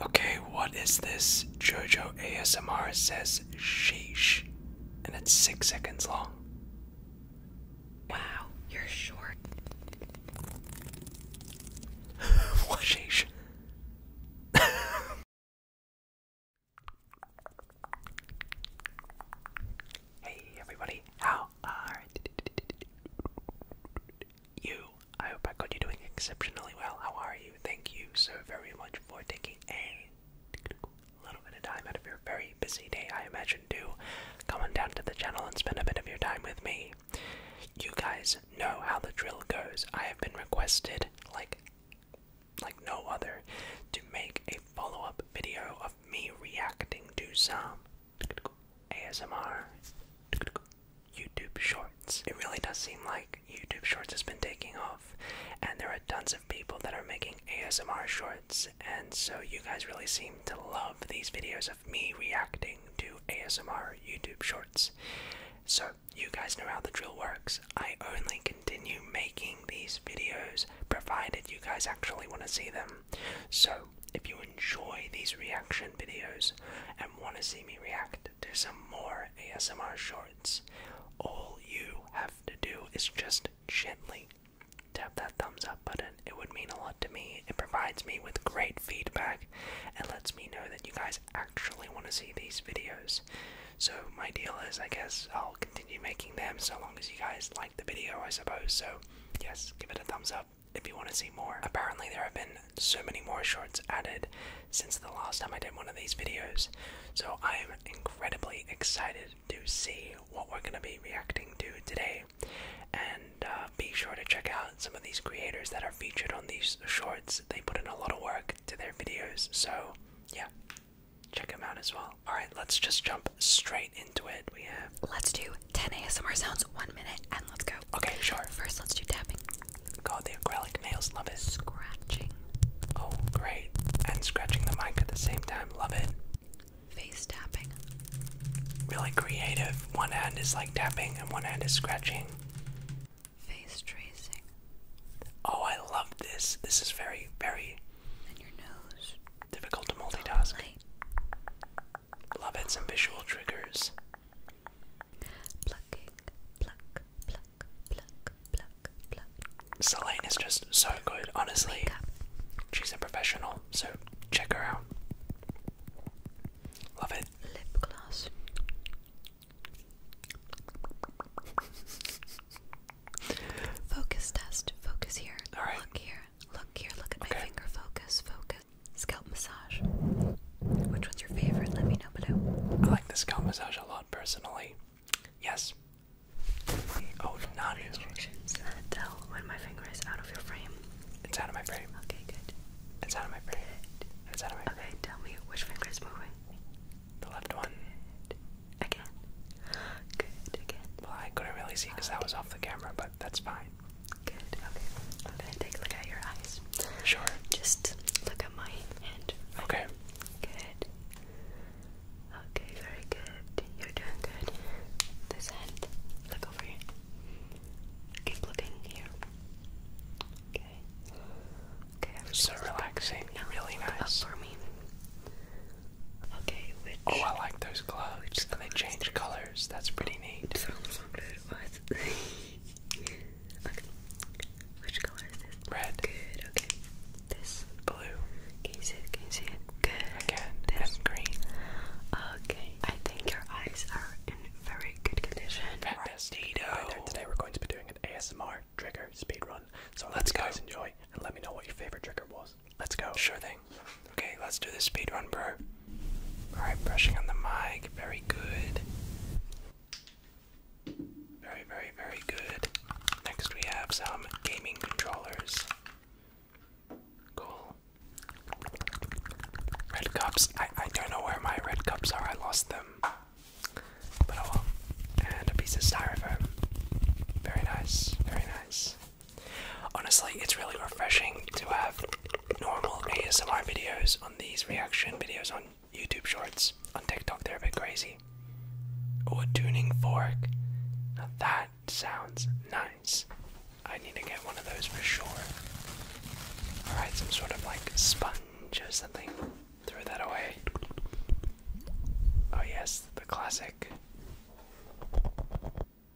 Okay, what is this? JoJo ASMR says sheesh, and it's six seconds long. Wow, you're short. what hey everybody, how are you. I hope I got you doing exceptionally well. How are you? Thank you so very much for taking a little bit of time out of your very busy day, I imagine, to come on down to the channel and spend a bit of your time with me. You guys know how the drill goes. I have been requested, like, like no other, to make a follow-up video of me reacting to some ASMR YouTube Shorts. It really does seem like YouTube Shorts has been taking off, and there are tons of people that are making ASMR Shorts, and so you guys really seem to love these videos of me reacting to ASMR YouTube Shorts. So, you guys know how the drill works. I only continue making these videos provided you guys actually want to see them. So, if you enjoy these reaction videos and want to see me react, ahead to some more ASMR shorts. All you have to do is just gently tap that thumbs up button. It would mean a lot to me. It provides me with great feedback It lets me know that you guys actually want to see these videos. So, my deal is, I guess I'll continue making them so long as you guys like the video, I suppose. So, yes, give it a thumbs up if you want to see more. Apparently, there have been so many more shorts added since the last time I did one of these videos. So I am incredibly excited to see what we're going to be reacting to today. And uh, be sure to check out some of these creators that are featured on these shorts. They put in a lot of work to their videos. So, yeah, check them out as well. Alright, let's just jump straight into it. We have. Let's do 10 ASMR sounds, one minute, and let's go. Okay, sure. First, let's do tapping. God, the acrylic nails, love it. Scratching. Oh, great. And scratching the mic at the same time, love it. Face tapping. Really creative. One hand is like tapping and one hand is scratching. Face tracing. Oh, I love this. This is very, very. And your nose. Difficult to multitask. Love it. Some visual triggers. Plucking, Selene is just so good, honestly. She's a professional, so check her out. Love it. Lip gloss. Focus test. Focus here. Look here. Look here. Look at my finger. Focus. Focus scalp massage. Which one's your favorite? Let me know below. I like the scalp massage a lot personally. Yes. Oh, not restrictions. Uh, tell when my finger is out of your frame. It's out of my frame. Okay, good. It's out of my frame. It's out of my Okay, tell me which finger is moving. The left one. Good. Again. Good. Again. Well, I couldn't really see because that was off the camera, but that's fine. Good. Okay. I'm gonna take a look at your eyes. Sure. Just look at my hand. Okay. Good. Okay, very good. You're doing good. This hand. Look over here. Keep looking here. Okay. Okay, So relaxing. really nice. Up for me. Okay, Oh I like those gloves. And they change colors. That's pretty neat. Red. Good, okay. This. Blue. Can you see it? Can you see it? Good. This. green. Okay. I think your eyes are in very good condition. Fantastic. Right there. Today we're going to be doing an ASMR trigger speed run. So let's go. guys enjoy and let me know what your favorite trigger was. Let's go. Sure thing. Okay, let's do this run, bro. Alright, brushing on the mic. Very good. Very, very, very good. Next, we have some gaming controllers. Cool. Red cups. I, don't know where my red cups are. I lost them. But oh And a piece of styrofoam. Very nice. Very nice. Honestly, it's really refreshing to have normal ASMR videos on these reaction videos on YouTube shorts. On TikTok, they're a bit crazy. Oh, a tuning fork. that sounds nice. I need to get one of those for sure. Alright, some sort of like sponge or something. Throw that away. Oh, yes, the classic.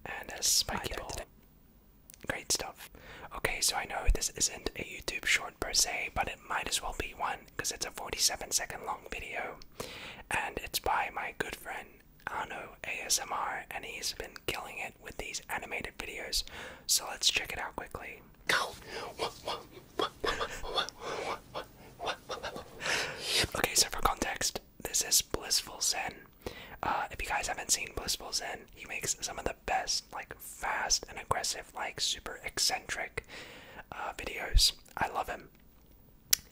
And a spiky ball. Great stuff. Okay, so I know this isn't a YouTube short per se, but it might as well be one because it's a 47 second long video and it's by my good friend Ano ASMR and he's been killing it with these animated videos. So let's check it out quickly. okay, so for context, this is Blissful Zen. Uh, if you guys haven't seen Blissful Zen, he makes some of the best like fast and aggressive, like super eccentric uh, videos. I love him,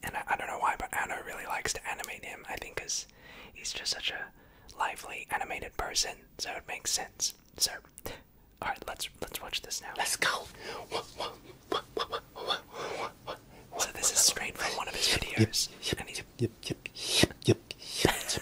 and I, don't know why, but Anna really likes to animate him. I think because he's just such a lively, animated person, so it makes sense. So, all right, let's let's watch this now. Let's go. So this is straight from one of his videos. Yep, yep, and he's... yep, yep, yep, yep, yep.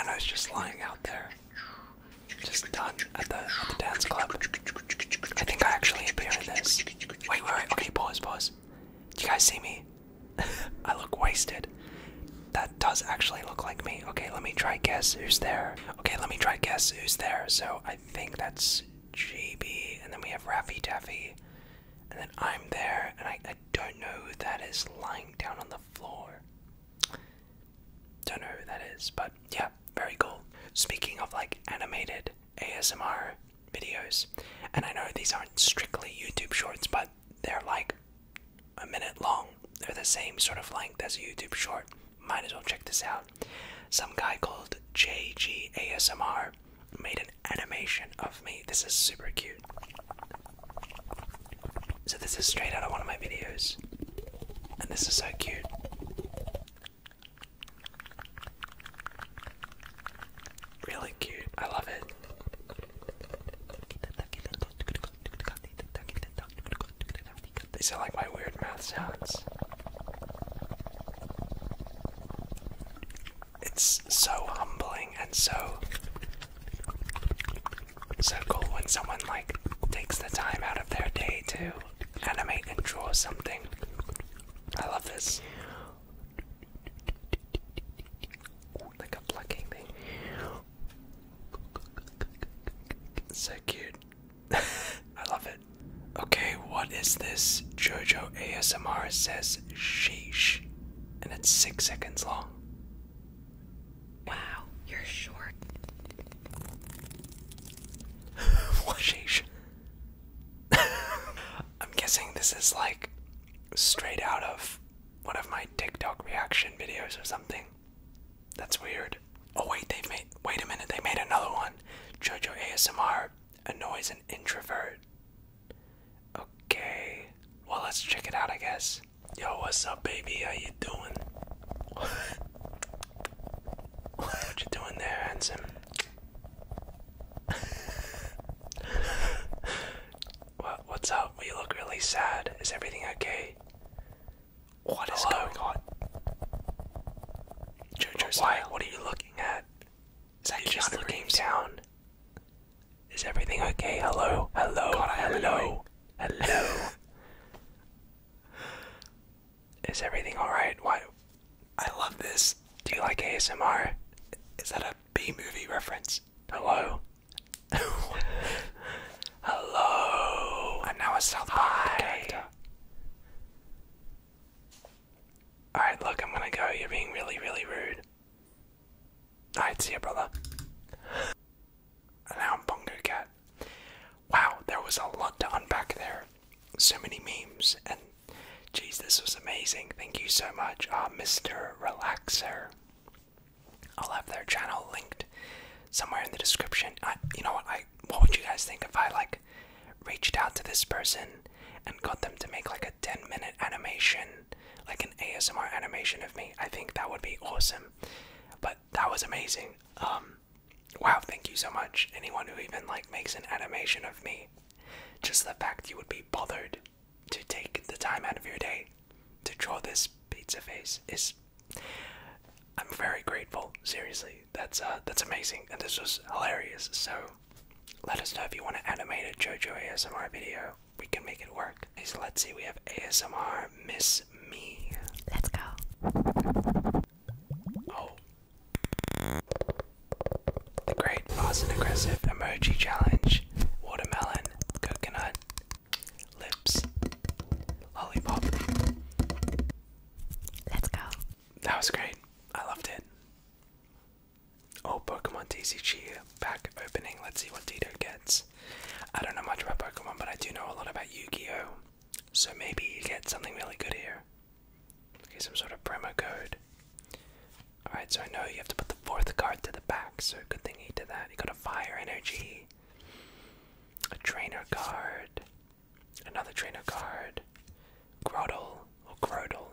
And I was just lying out there. Just done at the, dance club. I think I actually appeared in this. Wait, wait, wait. Okay, pause, pause. Do you guys see me? I look wasted. That does actually look like me. Okay, let me try guess who's there. Okay, let me try guess who's there. So I think that's GB, and then we have Raffy Taffy, and then I'm there, and I, I don't know who that is lying down on the floor. Don't know who that is, but yeah, very cool. Speaking of like animated ASMR videos, and I know these aren't strictly YouTube shorts, but they're like a minute long. They're the same sort of length as a YouTube short. Might as well check this out. Some guy called JG ASMR made an animation of me. This is super cute. So, this is straight out of one of my videos. And this is so cute. Really cute. I love it. These are like my weird mouth sounds it's so humbling and so so cool when someone like takes the time out of their day to animate and draw something. I love this. Like a plucking thing. So cute. I love it. Okay, what is this? Jojo ASMR says sheesh. And it's six seconds long. Wow, you're short. Washish. I'm guessing this is like straight out of one of my TikTok reaction videos or something. That's weird. Oh wait, they've made wait a minute, they made another one. Jojo ASMR annoys an introvert. Okay. Well, let's check it out, I guess. Yo, what's up, baby? How you doing? what you doing there, handsome? what? What's up? You look really sad. Is everything okay? What is going on? Jojo, why? What are you looking at? Is that you just looking down? Is everything okay? Hello? Hello? God, hello? Hello? Is everything alright? Why? I love this. Do you like ASMR? Is that a B movie reference? Hello? hello? I'm now a South Park Alright, look, I'm gonna go. You're being really, really rude. Alright, see you, brother. And now I'm Bungo Cat. Wow, there was a lot to unpack there. So many memes, and jeez, this was amazing. Thank you so much, uh, Mr. Relaxer. I'll have their channel linked somewhere in the description. you know what? I what would you guys think if I like reached out to this person and got them to make like a 10 minute animation like an ASMR animation of me. I think that would be awesome. But that was amazing. Um, wow, thank you so much. Anyone who even like makes an animation of me. Just the fact you would be bothered to take the time out of your day to draw this pizza face is I'm very grateful. Seriously. That's uh that's amazing. And this was hilarious. So let us know if you want to animate a JoJo ASMR video we can make it work. Okay, so let's see, we have ASMR Miss Me. Let's go. Oh. The Great Fast and Aggressive Emoji Challenge. Watermelon, coconut, lips, lollipop. Let's go. That was great. I loved it. Oh, Pokemon TCG pack opening. Let's see what Dito gets. I don't know much about Pokemon, but I do know a lot about Yu Gi Oh! So maybe you get something really good here. Okay, some sort of promo code. Alright, so I know you have to put the fourth card to the back, so good thing he did that. He got a fire energy, a trainer card, another trainer card, Groddle, or Groddle,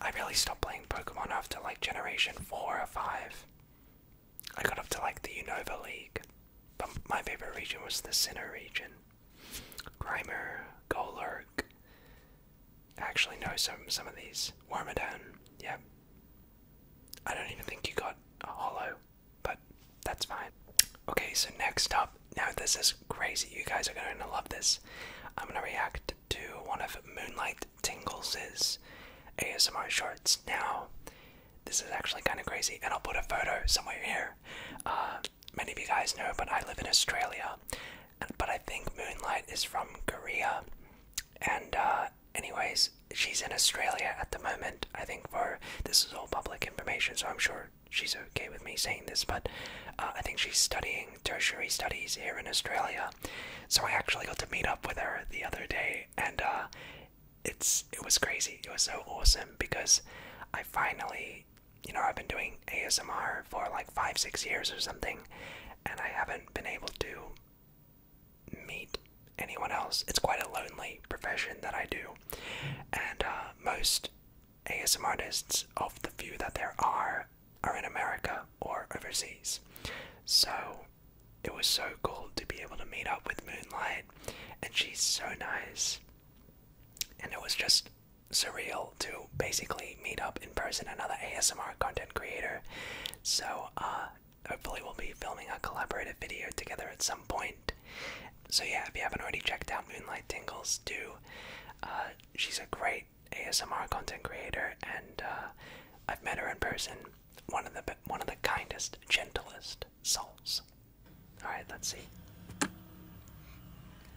I really stopped playing Pokemon after like generation 4 or 5. I got up to like the Unova League, but my favorite region was the Sinnoh region. Grimer, Golurk. actually know some some of these. Wormadam, yeah. I don't even think you got a hollow, but that's fine. Okay, so next up, now this is crazy. You guys are going to love this. I'm going to react to one of Moonlight Tingles's ASMR shorts. Now, this is actually kind of crazy, and I'll put a photo somewhere here. Uh, many of you guys know, but I live in Australia, but I think Moonlight is from Korea. And, uh, anyways, she's in Australia at the moment. I think for this is all public information, so I'm sure she's okay with me saying this, but uh, I think she's studying tertiary studies here in Australia. So I actually got to meet up with her the other day, and uh, it's it was crazy. It was so awesome because I finally, you know, I've been doing ASMR for like five, six years or something, and I haven't been able to meet anyone else. It's quite a lonely profession that I do, and uh, most ASM artists, of the few that there are, are in America or overseas. So it was so cool to be able to meet up with Moonlight, and she's so nice. And it was just surreal to basically meet up in person another ASMR content creator. So uh, hopefully we'll be filming a collaborative video together at some point. So yeah, if you haven't already checked out Moonlight Tingles, do. Uh, she's a great ASMR content creator, and uh, I've met her in person. One of the one of the kindest, gentlest souls. All right, let's see.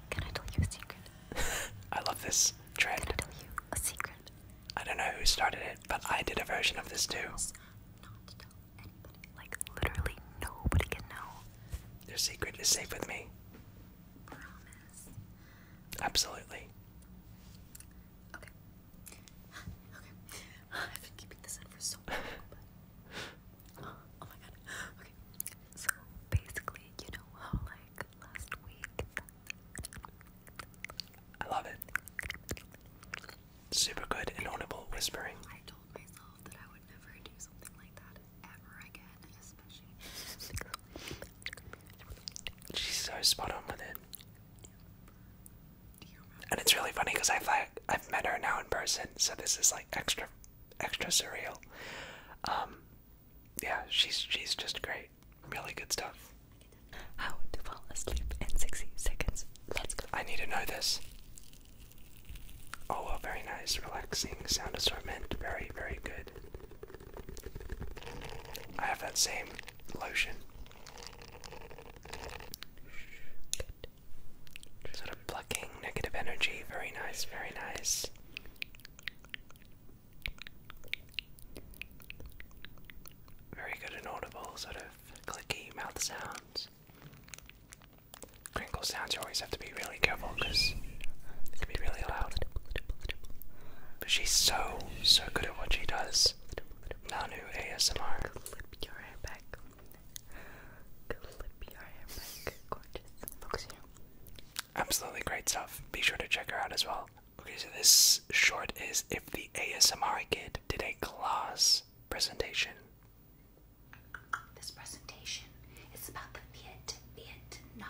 Can I tell you a secret? I love this trend. Can I tell you a secret? I don't know who started it, but I did a version of this too. Not to tell anybody. Like literally nobody can know. Your secret is safe with me. Promise. Absolutely. Okay. Okay. I've been keeping this in for so long. But... Uh, oh, my god. Okay. So basically, you know how like last week. I love it. Super good and audible whispering. I told myself that I would never do something like that ever again, especially. She's so spot on with it. And it's really funny because I've like I've met her now in person, so this is like extra, extra surreal. Um, yeah, she's she's just great. Really good stuff. How to fall asleep in sixty seconds? Let's go. I need to know this. Oh well, very nice, relaxing sound assortment. Very very good. I have that same lotion. Sort of plucking negative energy. Very nice, very nice. Very good and audible, sort of clicky mouth sounds. Crinkle sounds, you always have to be really careful because it can be really loud. But she's so so good at what she does. Nanu ASMR. Absolutely great stuff. Be sure to check her out as well. Okay, so this short is if the ASMR kid did a class presentation. This presentation is about the Viet Vietnam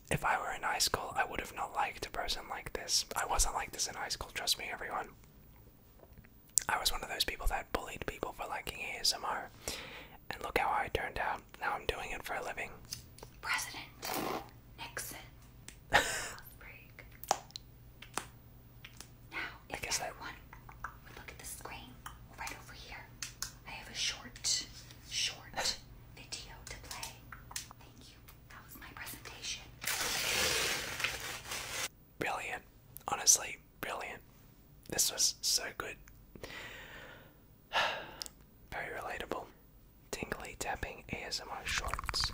If I were in high school, I would have not liked a person like this. I wasn't like this in high school, trust me, everyone. I was one of those people that bullied people for liking ASMR. And look how I turned out. Now I'm doing it for a living. President Nixon. break. Now, if I guess everyone I... look at the screen right over here, I have a short, short video to play. Thank you. Brilliant. Honestly, brilliant. This was so good. Very relatable. Tingly tapping ASMR shorts.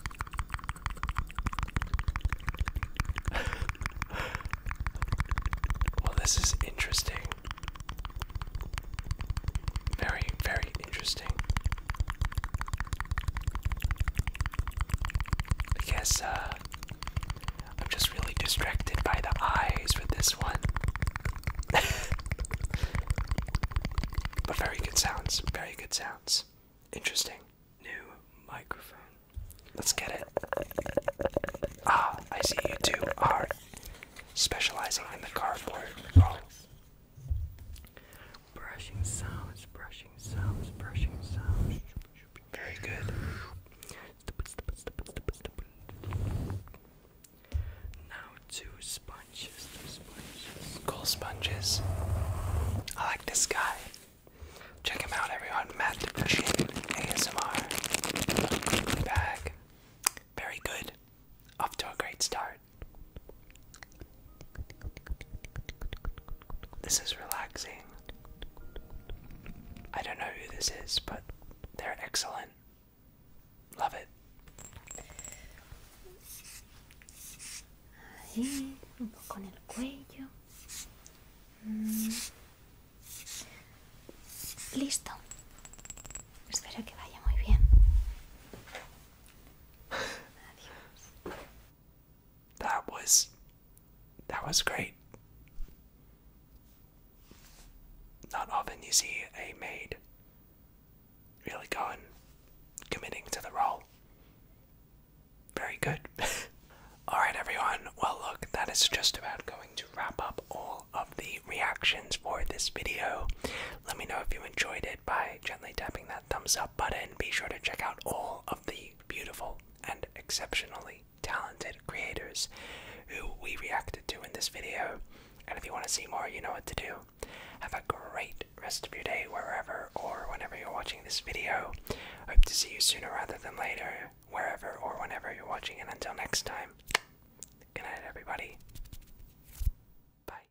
well, this is interesting. Very, very interesting. I guess uh, I'm just really distracted by the eyes with this one. but very good sounds, very good sounds. Interesting. New microphone. Let's get it. Ah, I see you two are specializing in the cardboard brushing sounds, brushing sounds, brushing sounds. Very good. Now two sponges, Cool sponges. I like this guy. Check him out, everyone. Matt Fishing ASMR. Bag. Very good. Off to a great start. This is relaxing. I don't know who this is, but they're excellent. Love it. Ahí, un poco en el cuello. Mm. Listo. Espero que vaya muy bien. That was that was great. Not often you see a maid really going committing to the role. Very good. Alright, everyone. Well, look, that is just about going to wrap up all of the reactions for this video. Let me know if you enjoyed it Bye gently tapping that thumbs up button. Be sure to check out all of the beautiful and exceptionally talented creators who we reacted to in this video. And if you want to see more, you know what to do. Have a great rest of your day wherever or whenever you're watching this video. Hope to see you sooner rather than later, wherever or whenever you're watching. And until next time, good night, everybody. Bye.